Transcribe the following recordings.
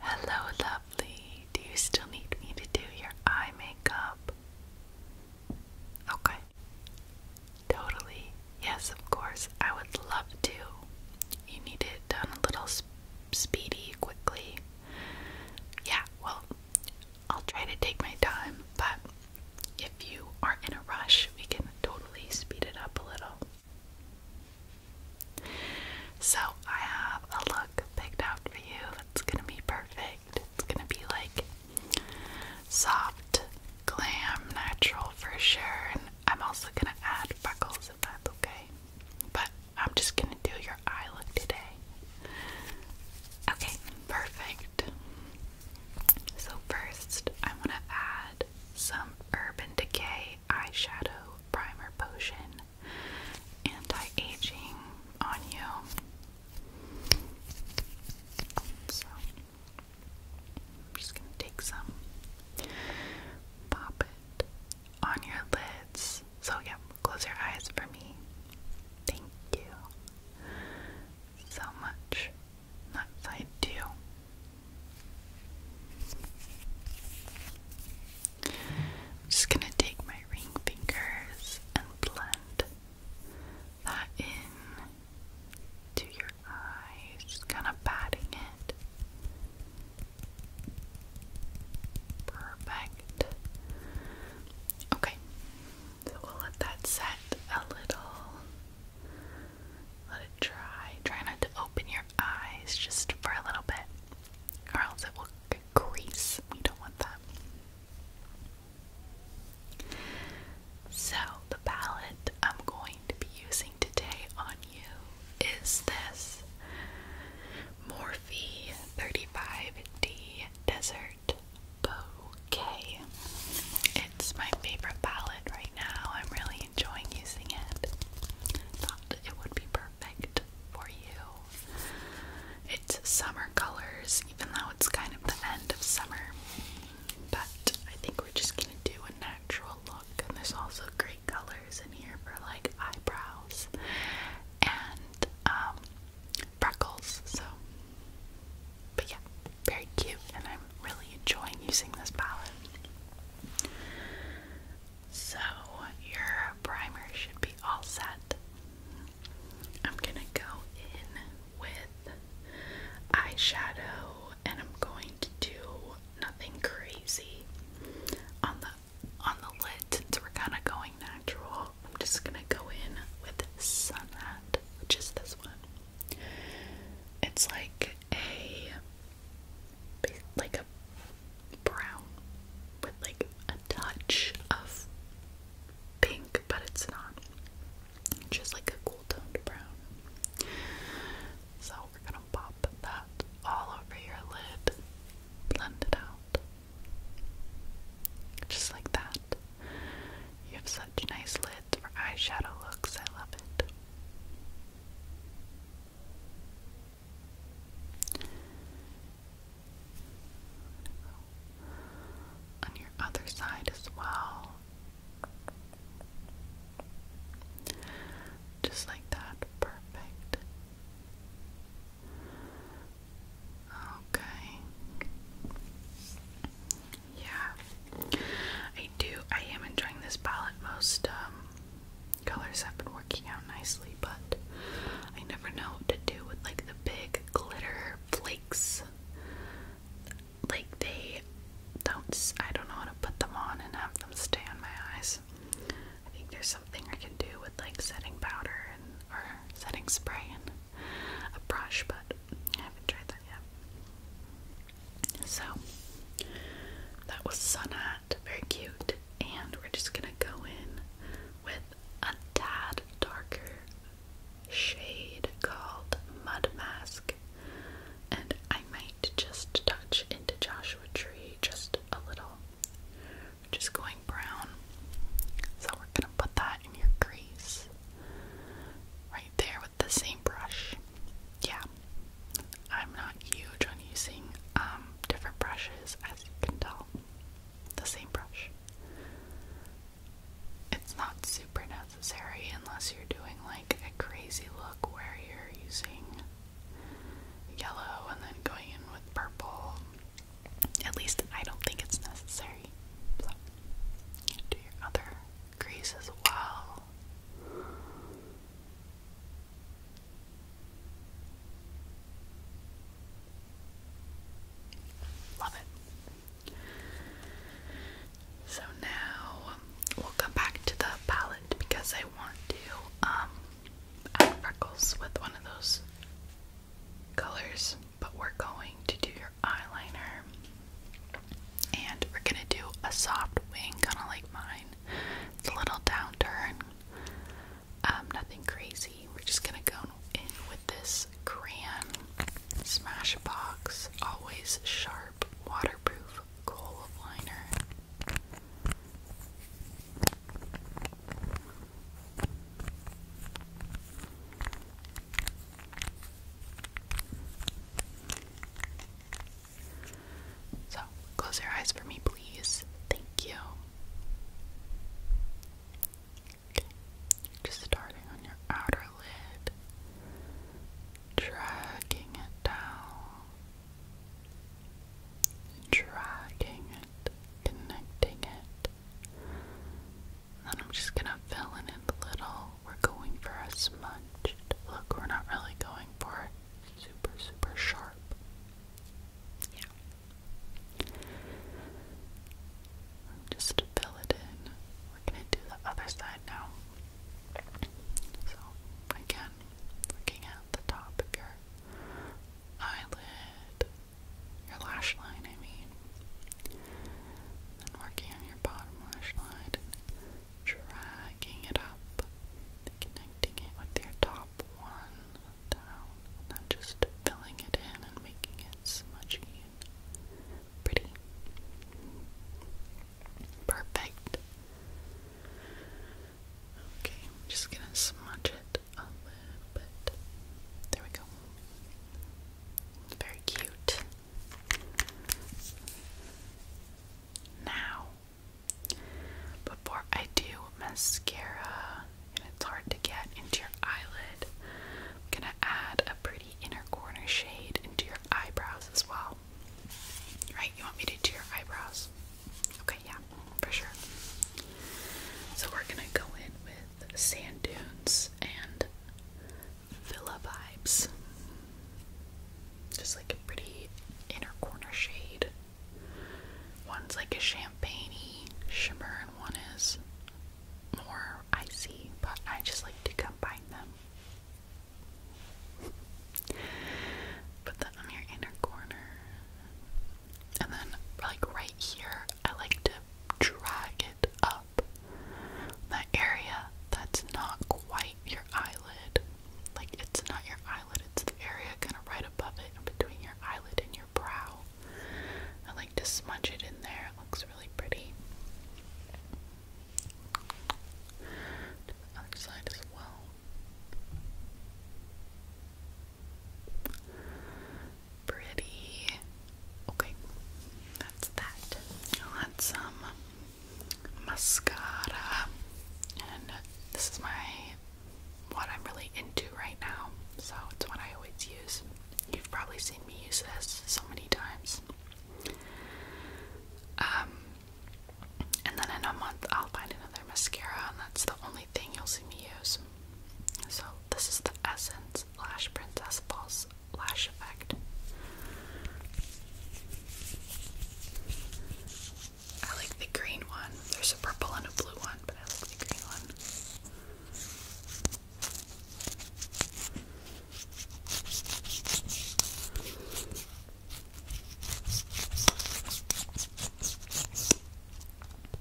Hello, lovely. Do you still need me to do your eye makeup? Okay. Totally. Yes, of course. I would love to. You need it done a little speedy, quickly. Yeah, well, I'll try to take my time, but if you are in a rush, we can totally speed it up a little. So, I have a look picked out for you that's gonna be perfect. It's gonna be like soft, glam, natural for sure. And I'm also gonna add buckles if that's okay. But I'm just gonna do your eye look today. Okay, perfect. So, first, I want to add some Urban Decay Eyeshadow Primer Potion Anti Aging on you. So, I'm just going to take some, pop it on your lids. So, yeah, close your eyes for me. Thank you so much that side too. I'm just gonna take my ring fingers and blend that in to your eyes, just kind of patting it. Perfect. Okay, so we'll let that set a little. Let it dry. Try not to open your eyes just for a little bit, or it will crease. We don't want that. So, the palette I'm going to be using today on you is this Morphe 35D Desert Art It's my favorite palette right now. I'm really enjoying using it. Thought it would be perfect for you. It's summer colors, even though it's kind of the end of summer. But I think we're just gonna do a natural look, and there's also great colors in here for like eyebrows and um, freckles. So but yeah, very cute, and I'm really enjoying using this palette. So, your primer should be all set. I'm gonna go in with eyeshadow, and I'm going to do nothing crazy on the on the lid we're kind of going natural. I'm just gonna go in with Sunhat, which is this one. It's like a like a brown with like a touch of pink, but it's not. just like a cool toned brown. So we're gonna pop that all over your lid, blend it out, just like that. You have such nice lids for eyeshadow looks. I love it. On your other side as well. Just like that. Perfect. Okay. Yeah. I do. I am enjoying this palette. Most um, colors have been working out nicely, but I never know what to do with like the big glitter flakes. Like they don't. I don't know how to put them on and have them stay on my eyes. I think there's something I can do with like setting powder and or setting spray and a brush, but I haven't tried that yet. So that was Sun Hat, very cute, and we're just gonna go in with a tad darker shade called Mud Mask, and I might just touch into Joshua Tree just a little. just going brown, so we're gonna put that in your crease right there with the same brush. Yeah, I'm not huge on using um, different brushes, as you can tell. The same brush. It's not super necessary unless you're doing like a crazy look where you're using yellow and then going in with purple at least I don't think it's necessary. do your other crease well. Love it. So now we'll come back to the palette because I want to um, add freckles with one of those colors but we're going to do your eyeliner and we're gonna do a soft wing, kind of like mine. It's a little downturn, um, nothing crazy. We're just gonna go in with this crayon Smashbox, always sharp, waterproof gold liner. So, close your eyes for me, please. Thank you. just starting on your outer lid, dragging it down, dragging it, connecting it, then I'm just gonna fill in a little. We're going for a smudged look. We're not really going for super, super sharp. Yeah. Just fill it in. We're gonna do the other side now. So again, looking at the top of your eyelid, your lash line, I mean. Then working on your bottom lash line dragging it up, connecting it with your top one down, and just filling it in and making it smudgy pretty. Perfect. Okay, just gonna smudge it it There we go. very cute. Now, before I do mascara, and it's hard to get into your eyelid, I'm gonna add a pretty inner corner shade into your eyebrows as well. Right, you want me to do your eyebrows? Okay, yeah, for sure. So we're gonna go in with with sand dunes and villa vibes. Just like a pretty inner corner shade. One's like a champagne shimmer and one is more icy, but I just like to combine them. Put that on your inner corner. And then, like right here, I like to drag it up. That area that's not quite your eyelid. Like, it's not your eyelid, it's the area kind of right above it, between your eyelid and your brow. I like to smudge it in there, it looks really pretty. other side as well. Pretty. Okay, that's that. I'll add some mascara, and this is my what I'm really into right now, so it's what I always use. You've probably seen me use this so many times. Um, and then in a month I'll find another mascara, and that's the only thing you'll see me use. So this is the Essence Lash Princess False Lash Effect. I like the green one. There's a purple and a blue one, but I like the green one.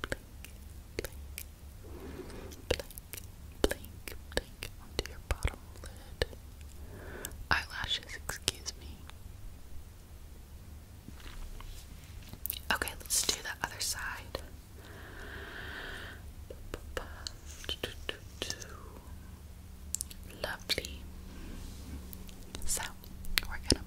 blink, blink, blink onto your bottom lid. Eyelashes, excuse me. Okay, let's do the other side. Lovely. So, we're gonna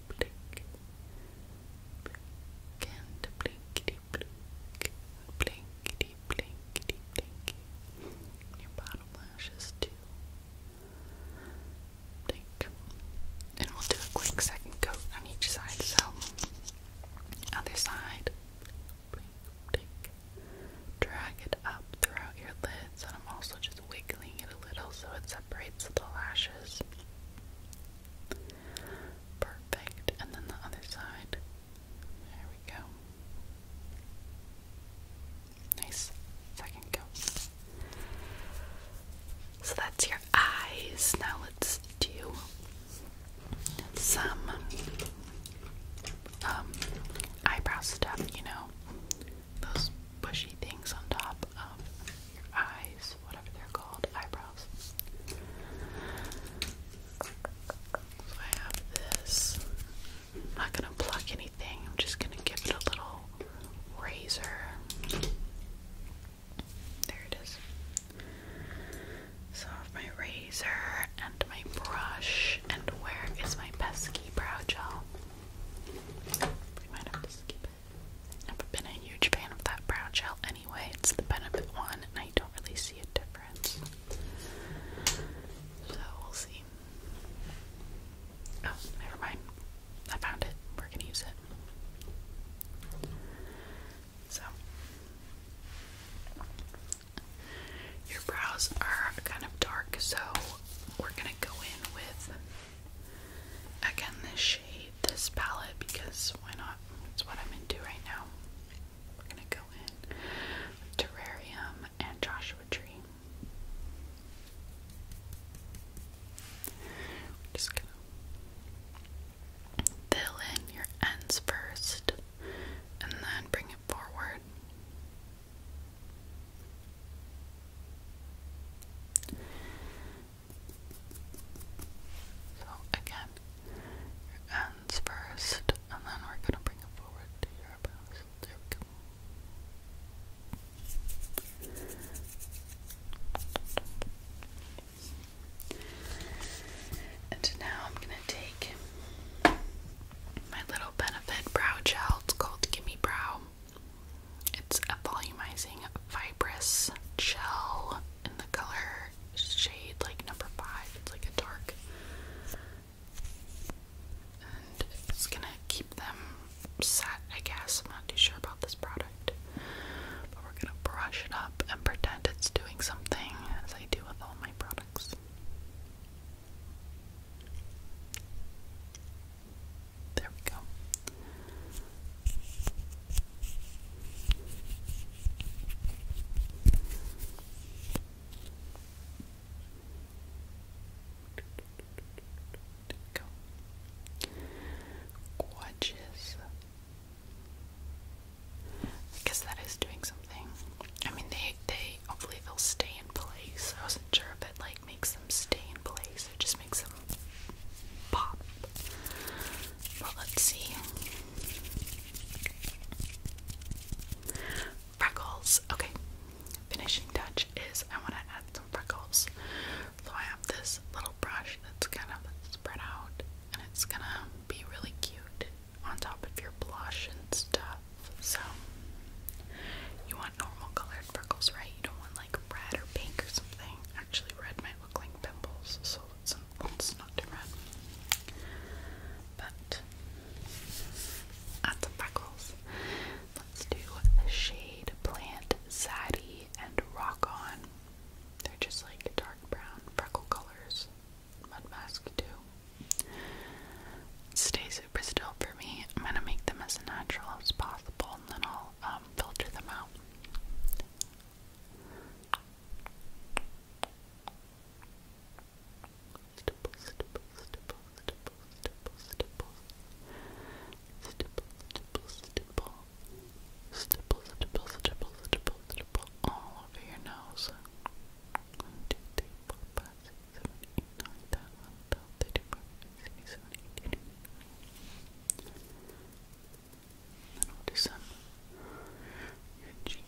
blink, blink, and blinkety blink, blinkety blinkety blink. And your bottom lashes too. Blink, and we'll do a quick second coat on each side. So, other side, blink, blink, drag it up throughout your lids, and I'm also just wiggling it a little so it separates the lashes. Perfect. And then the other side. There we go. Nice. Second go. So that's your eyes. Now let's do some um, eyebrow stuff, you know those bushy things on top of your eyes, whatever they're called, eyebrows. So I have this. not gonna pluck anything, I'm just gonna give it a little razor. There it is. So I have my razor and my brush, and where is my pesky brow gel? We been a huge fan of that brow gel anyway. It's the Benefit one, and I don't really see a difference. So we'll see. Oh, never mind. I found it. We're gonna use it. So, your brows are kind of dark, so we're gonna go in with Again, this shade, this palette, because why not? It's what I'm into right now. We're gonna go in Terrarium and Joshua Tree. just gonna fill in your ends first and then bring it forward. So again, your ends first, and then we're going to bring it forward to your bows. There we go. And now I'm gonna take my little benefit brow gel. It's called Gimme Brow. It's a volumizing fibrous gel in the color shade like number five. It's like a dark. And it's gonna keep them set, I guess. I'm not too sure about this product. But we're gonna brush it up and pretend it's doing something as I do with all my products. There we go. go. Gorgeous. I guess that is doing something. I mean, they they hopefully they'll stay in place. I wasn't sure if it like like makes them stay in place. It just makes them pop. But let's see. Freckles. Okay. Finishing touch is I want to add some freckles. So I have this little brush that's kind of spread out and it's gonna be really cute on top of your blush and stuff. So, you want normal colored freckles, right? You don't want like red or pink or something. Actually, red might look like pimples, so let's, not do red. But, add some freckles. Let's do the shade Plant Zaddy and Rock On. They're just like dark brown freckle colors. Mud Mask, too. Stay super still for me. I'm gonna make them as natural as possible and then I'll um, filter them out. Stipple, stipple, stipple, stipple, stipple, stipple. Stipple, stipple, stipple. Stipple, stipple, stipple, stipple, All over your nose. Then we'll do some your cheek.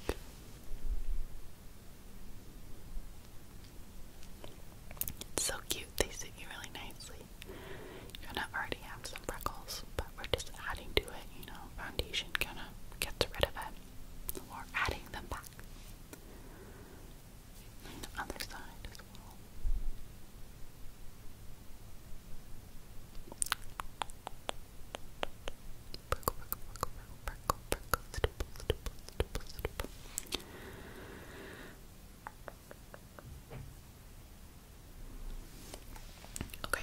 so cute, they sit you really nicely. You're gonna already have some freckles, but we're just adding to it, you know, foundation kinda gets rid of it. Or adding them back the other side Okay.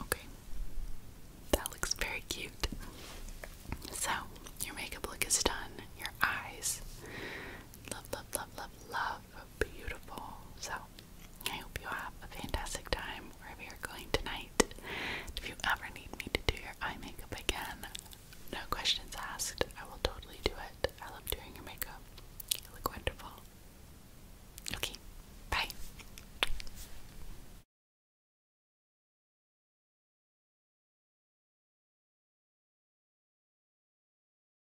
Okay, that looks very cute. So, your makeup look is done. Your eyes. Love, love, love, love, love. Beautiful. So, I hope you have a fantastic time wherever you're going tonight. If you ever need me to do your eye makeup again, no questions asked, I will totally do it. I love doing your makeup. You look wonderful. Okay, bye.